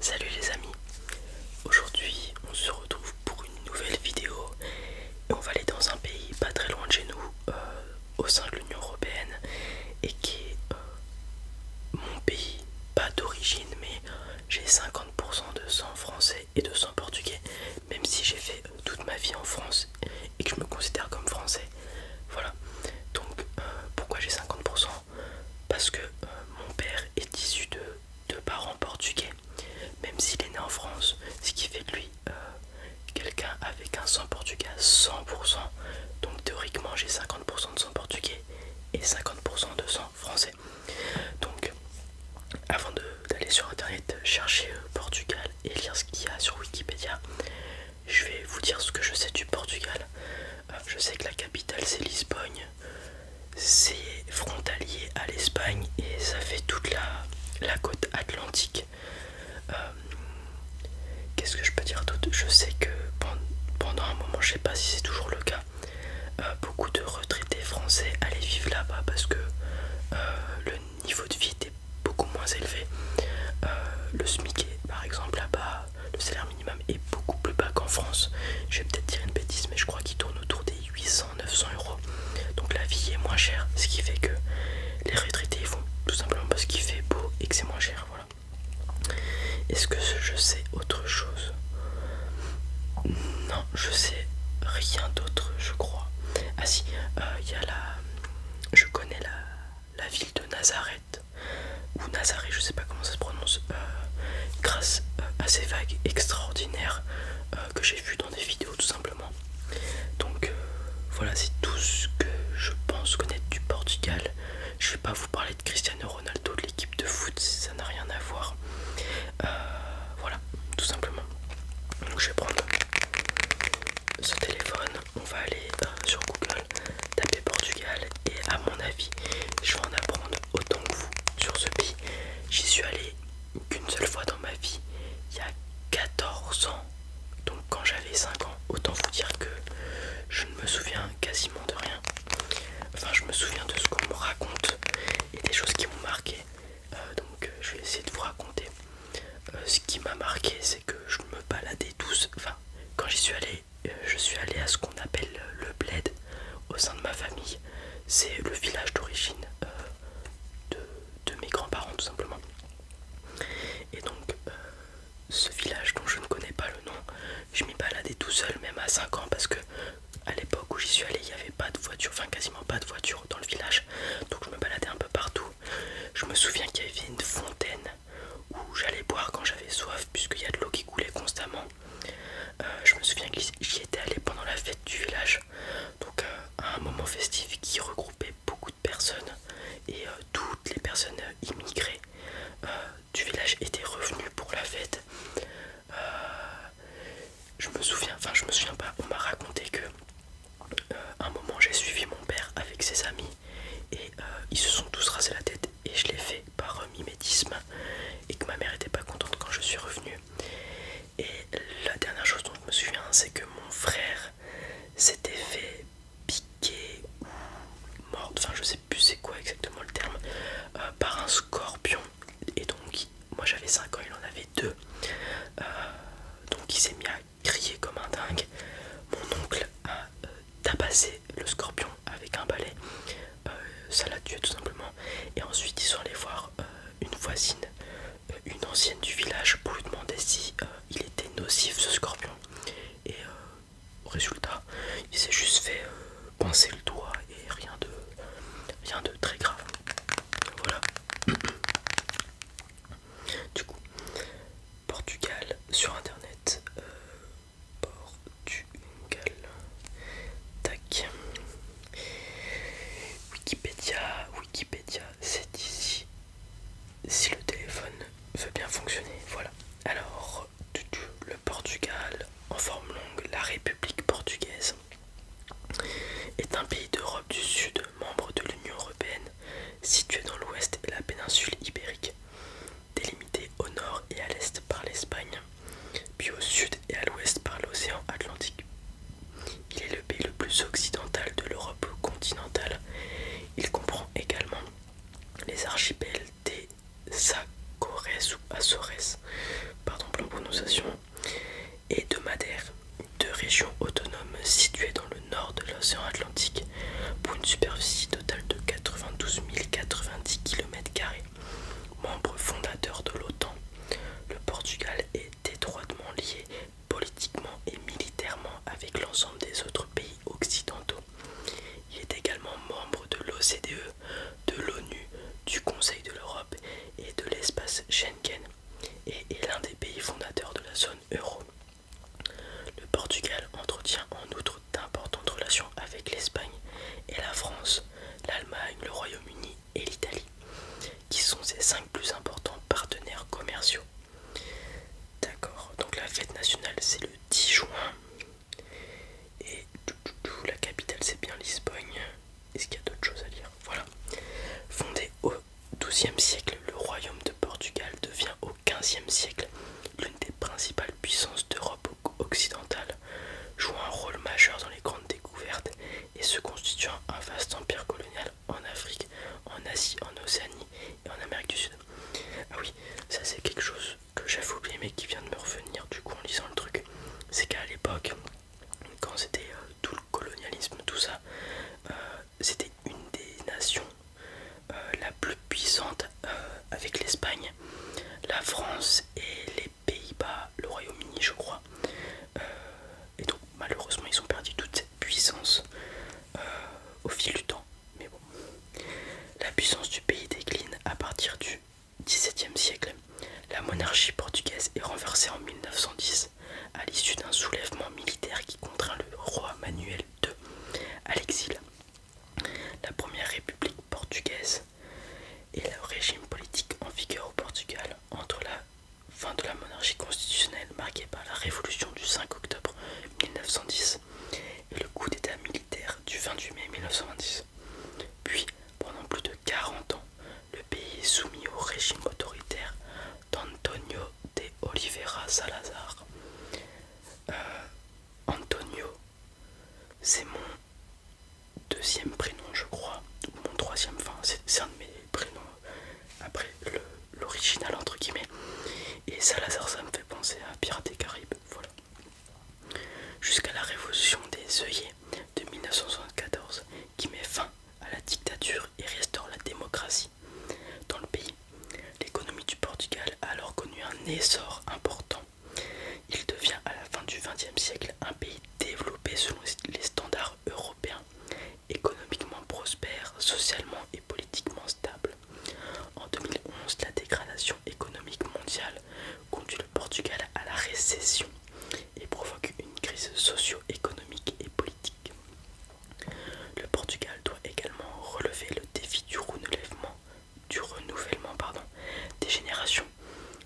Salut les amis, aujourd'hui on se retrouve pour une nouvelle vidéo et on va aller dans un pays pas très loin de chez nous, euh, au sein de l'Union Européenne et qui est euh, mon pays, pas d'origine mais j'ai 50% de sang français et de sang portugais même si j'ai fait toute ma vie en France et que je me considère comme français voilà. Donc euh, pourquoi j'ai 50% Parce que euh, mon père est issu de, parents portugais, même s'il est né en France, ce qui fait de lui euh, quelqu'un avec un sang portugais à 100%. Donc théoriquement j'ai 50% de sang portugais et 50% de sang français. Donc avant d'aller sur internet chercher Portugal et lire ce qu'il y a sur Wikipédia, je vais vous dire ce que je sais du Portugal. Euh, je sais que la capitale c'est Lisbonne, c'est frontalier à l'Espagne et ça fait toute la, la côte atlantique. Euh, qu'est-ce que je peux dire d'autre Je sais que pendant un moment, je sais pas si c'est toujours le cas, euh, beaucoup de retraités français allaient vivre là-bas parce que le niveau de vie était beaucoup moins élevé. Euh, le SMIC par exemple là-bas, le salaire minimum est beaucoup plus bas qu'en France. Je vais peut-être dire une bêtise, mais je crois qu'il tourne autour des 800-900 euros. Donc la vie est moins chère, ce qui fait que les retraités vont tout simplement parce qu'il fait beau et que c'est moins cher. Voilà. Est-ce que je sais autre chose Non, je sais rien d'autre, je crois. Ah si, euh, il y a la... Je connais la la ville de Nazareth, ou Nazareth, je sais pas comment ça se prononce, euh, grâce euh, à ces vagues extraordinaires euh, que j'ai vues dans des vidéos tout simplement. Donc voilà, c'est tout ce que je pense connaître du Portugal. Je vais pas vous parler de Cristiano Ronaldo, de l'équipe de foot, ça n'a rien à voir. voilà, tout simplement. Donc je vais prendre ce téléphone on va aller euh, sur Google, taper Portugal et à mon avis je vais en apprendre autant que vous sur ce pays. J'y suis allé qu'une seule fois dans ma vie, il y a 14 ans, donc quand j'avais 5 ans, autant vous dire que je ne me souviens quasiment de rien. Enfin je me souviens de ce qu'on me raconte et des choses qui m'ont marqué. Euh, donc euh, je vais essayer de vous raconter euh, ce qui m'a marqué, c'est que je me baladais tous. Enfin, quand j'y suis allé, euh, je suis allé à ce qu'on appelle le bled au sein de ma famille. C'est le village d'origine euh, de, mes grands-parents, tout simplement. Et donc, ce village dont je ne connais pas le nom, je m'y baladais tout seul, même à 5 ans, parce que à l'époque où j'y suis allé, il n'y avait pas de voiture, enfin quasiment pas de voiture dans le village. Donc, je me baladais un peu partout je me souviens qu'il y avait une fontaine où j'allais boire quand j'avais soif, puisqu'il y a de l'eau qui coulait constamment. Euh, je me souviens que j'y étais allé pendant la fête du village, donc euh, à un moment festif qui regroupait beaucoup de personnes et euh, toutes les personnes immigrées du village étaient revenues pour la fête. je me souviens, enfin je me souviens pas, on m'a raconté que euh, un moment j'ai suivi mon père avec ses amis et euh, ils se sont tous rasés la tête et je l'ai fait par mimétisme et que ma mère était pas contente quand je suis revenue et la dernière chose dont je me souviens c'est que mon frère s'était fait piquer ou mort, enfin je sais plus c'est quoi exactement le terme, euh, par un scorpion et donc moi j'avais 5 ans, il en avait 2. Euh, donc il s'est mis à crier comme un dingue. Mon oncle a euh, tabassé le scorpion avec un balai. Euh, ça l'a tué tout simplement. Et ensuite ils sont allés voir une voisine, une ancienne du village, pour lui demander si il était nocif ce scorpion. Et résultat, il s'est juste fait pincer le doigt et rien de, rien de très grave. Voilà. Du coup, Portugal sur internet. Euh, Portugal. Tac. Wikipédia. Wikipédia, c'est ici. Si le téléphone veut bien fonctionner. Voilà. Alors, le Portugal en forme longue, la République portugaise est un pays d'Europe du Sud, membre de l'Union européenne, situé dans l'ouest et la péninsule ibérique, délimité au nord et à l'est par l'Espagne, puis au sud et à l'ouest par l'océan Atlantique. Il est le pays le plus occidental de l'Europe continentale. Il comprend également les archipels des Sacores ou Açores, pardon pour la prononciation, et de Madère, deux régions autonomes situées dans le nord de l'océan Atlantique, pour une superficie totale de 92 090 km. Membre fondateur de l'OTAN, le Portugal est étroitement lié politiquement et militairement avec l'ensemble des autres pays occidentaux. Il est également membre de l'OCDE, de l'ONU, du Conseil de l'Europe et de l'espace Schengen et est l'un des pays fondateurs de la zone euro. Le Portugal entretient en outre d'importantes relations avec l'Espagne et la France, l'Allemagne, le Royaume-Uni et l'Italie, qui sont ses cinq plus importants partenaires commerciaux. D'accord, donc la fête nationale c'est le 10 juin et la capitale c'est bien Lisbonne. Est-ce qu'il y a d'autres choses à lire Voilà. Fondé au XIIe siècle, le royaume de Portugal devient au XVe siècle l'une des principales puissances d'Europe occidentale, jouant un rôle majeur dans les grandes découvertes et se constituant un vaste empire colonial en Afrique, en Asie, en Océanie et en Amérique du Sud. Ah oui, ça c'est quelque chose que j'avais oublié mais qui vient de me revenir du coup en lisant le truc, c'est qu'à l'époque, quand c'était euh, tout le colonialisme, tout ça, euh, c'était une des nations euh, la plus puissante avec l'Espagne, la France et les Pays-Bas, le Royaume-Uni je crois. et donc malheureusement ils ont perdu toute cette puissance au fil du temps. Mais bon. La puissance du pays décline à partir du XVIIe siècle, la monarchie portugaise est renversée en 1910 à l'issue d'un soulèvement militaire qui contraint le roi Manuel II à l'exil. La première république portugaise est le régime politique en vigueur au Portugal entre la fin de la monarchie constitutionnelle marquée par la révolution du 5 octobre 1910 et le coup d'état militaire du 28 mai 1926. Puis, pendant plus de 40 ans, le pays est soumis au régime autoritaire d'Antonio de Oliveira Salazar. Euh, Antonio, c'est mon deuxième prénom, je crois, ou mon troisième, enfin, c'est un de mes prénoms après l'original, entre guillemets. Et Salazar, ça me fait penser à Pirates des Caraïbes, voilà. Jusqu'à la révolution des œillets de 1974, qui met fin à la dictature et restaure la démocratie dans le pays, l'économie du Portugal a alors connu un essor important. Il devient à la fin du XXe siècle un pays développé selon les standards européens, économiquement prospère, socialement et politiquement stable. En 2011, la dégradation économique mondiale conduit le Portugal à la récession et provoque une crise socio-économique et politique. Le Portugal doit également relever le défi du renouvellement, du renouvellement pardon, des générations.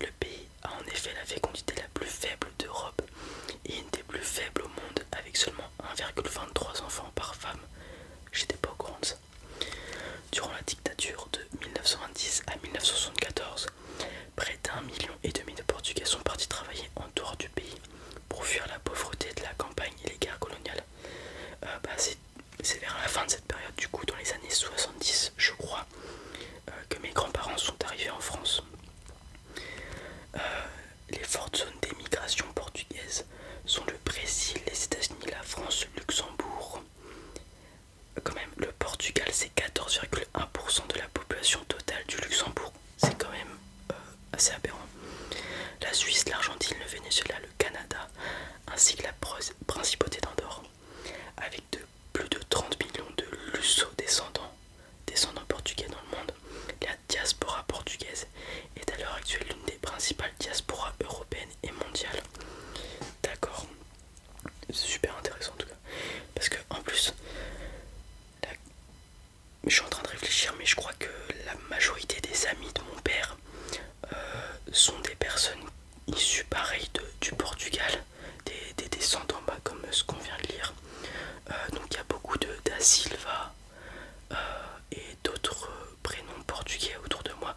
Le pays a en effet la fécondité la plus faible d'Europe et une des plus faibles au monde avec seulement 1,23 enfants par femme. J'étais pas au Durant la dictature de 1990 à 1974, près d'un million et demi de Portugais sont partis travailler en dehors du pays pour fuir la pauvreté de la campagne et les guerres coloniales. Euh, bah, c'est vers la fin de cette période, du coup, dans les années 70, je crois, euh, que mes grands-parents sont arrivés en France. Euh, les fortes zones d'émigration portugaise sont le Brésil, les États-Unis, la France, le Luxembourg. Euh, quand même, le Portugal, c'est 14,1% de la population totale du Luxembourg. C'est quand même euh, assez aberrant. La Suisse, l'Argentine, le Venezuela, le Canada, ainsi que la principauté d'Andorre, avec plus de 30 millions de lusso descendants descendants portugais dans le monde. La diaspora portugaise est à l'heure actuelle l'une des principales diasporas européennes et mondiales. D'accord, c'est super intéressant en tout cas. Parce que en plus, je suis en train de réfléchir, mais je crois que la majorité des amis de mon père euh, sont des personnes issues pareil du Portugal, des, descendants bas comme ce qu'on vient de lire. Euh, donc il y a beaucoup de Da Silva euh, et d'autres prénoms portugais autour de moi.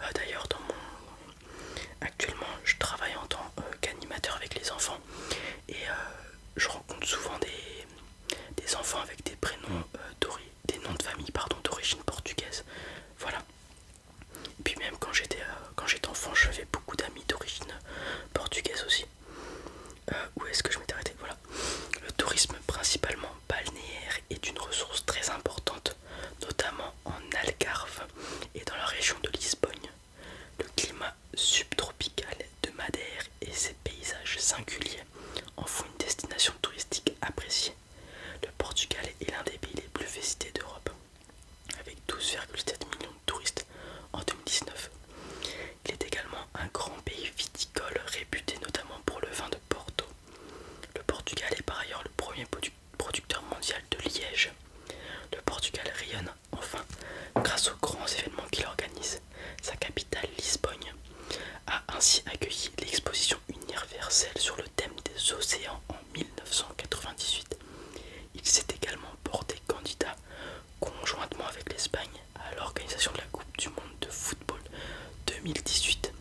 Euh, d'ailleurs, dans mon actuellement, je travaille en tant euh, qu'animateur avec les enfants et euh, je rencontre souvent des, enfants avec des prénoms noms de famille pardon d'origine portugaise. Voilà. puis même quand j'étais quand j'étais enfant, je fais beaucoup d'amis d'origine portugaise aussi. Euh, où est-ce que je m'étais arrêté Voilà. Le tourisme principalement balnéaire est une ressource très importante, notamment en Algarve et dans la région de Lisbonne. Le climat subtropical de Madère et ses paysages singuliers en font une destination touristique appréciée. Le Portugal est l'un des pays les plus visités d'Europe, avec 12,7 millions de touristes en 2019, il est également un grand pays viticole réputé notamment pour le vin de Porto. Le Portugal est par ailleurs le premier producteur mondial de liège. Le Portugal rayonne enfin grâce aux grands événements qu'il organise. Sa capitale, Lisbonne, a ainsi accueilli l'exposition universelle sur le thème des océans en 1998. Il s'est également porté candidat conjointement avec l'Espagne à l'organisation de la Coupe du Monde de football 2018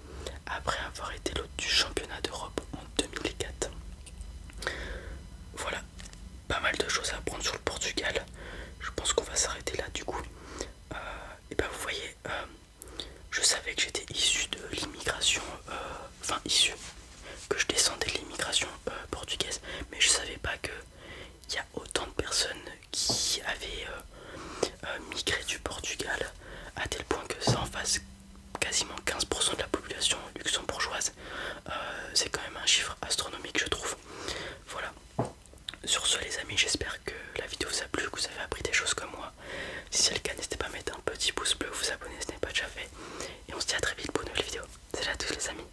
après avoir été l'hôte du championnat d'Europe en 2004. Voilà, pas mal de choses à apprendre sur le Portugal. Je pense qu'on va s'arrêter là du coup. Euh, et ben vous voyez, euh, je savais que j'étais issu de l'immigration, euh, enfin issu, que je descendais de l'immigration portugaise, mais je savais pas que il y a autant de personnes qui avait euh, euh, migré du Portugal à tel point que ça en fasse quasiment 15% de la population luxembourgeoise. Euh, c'est quand même un chiffre astronomique je trouve. Voilà. Sur ce les amis, j'espère que la vidéo vous a plu, que vous avez appris des choses comme moi. Si c'est le cas, n'hésitez pas à mettre un petit pouce bleu, vous abonner si ce n'est pas déjà fait. Et on se dit à très vite pour une nouvelle vidéo. C'est à tous les amis.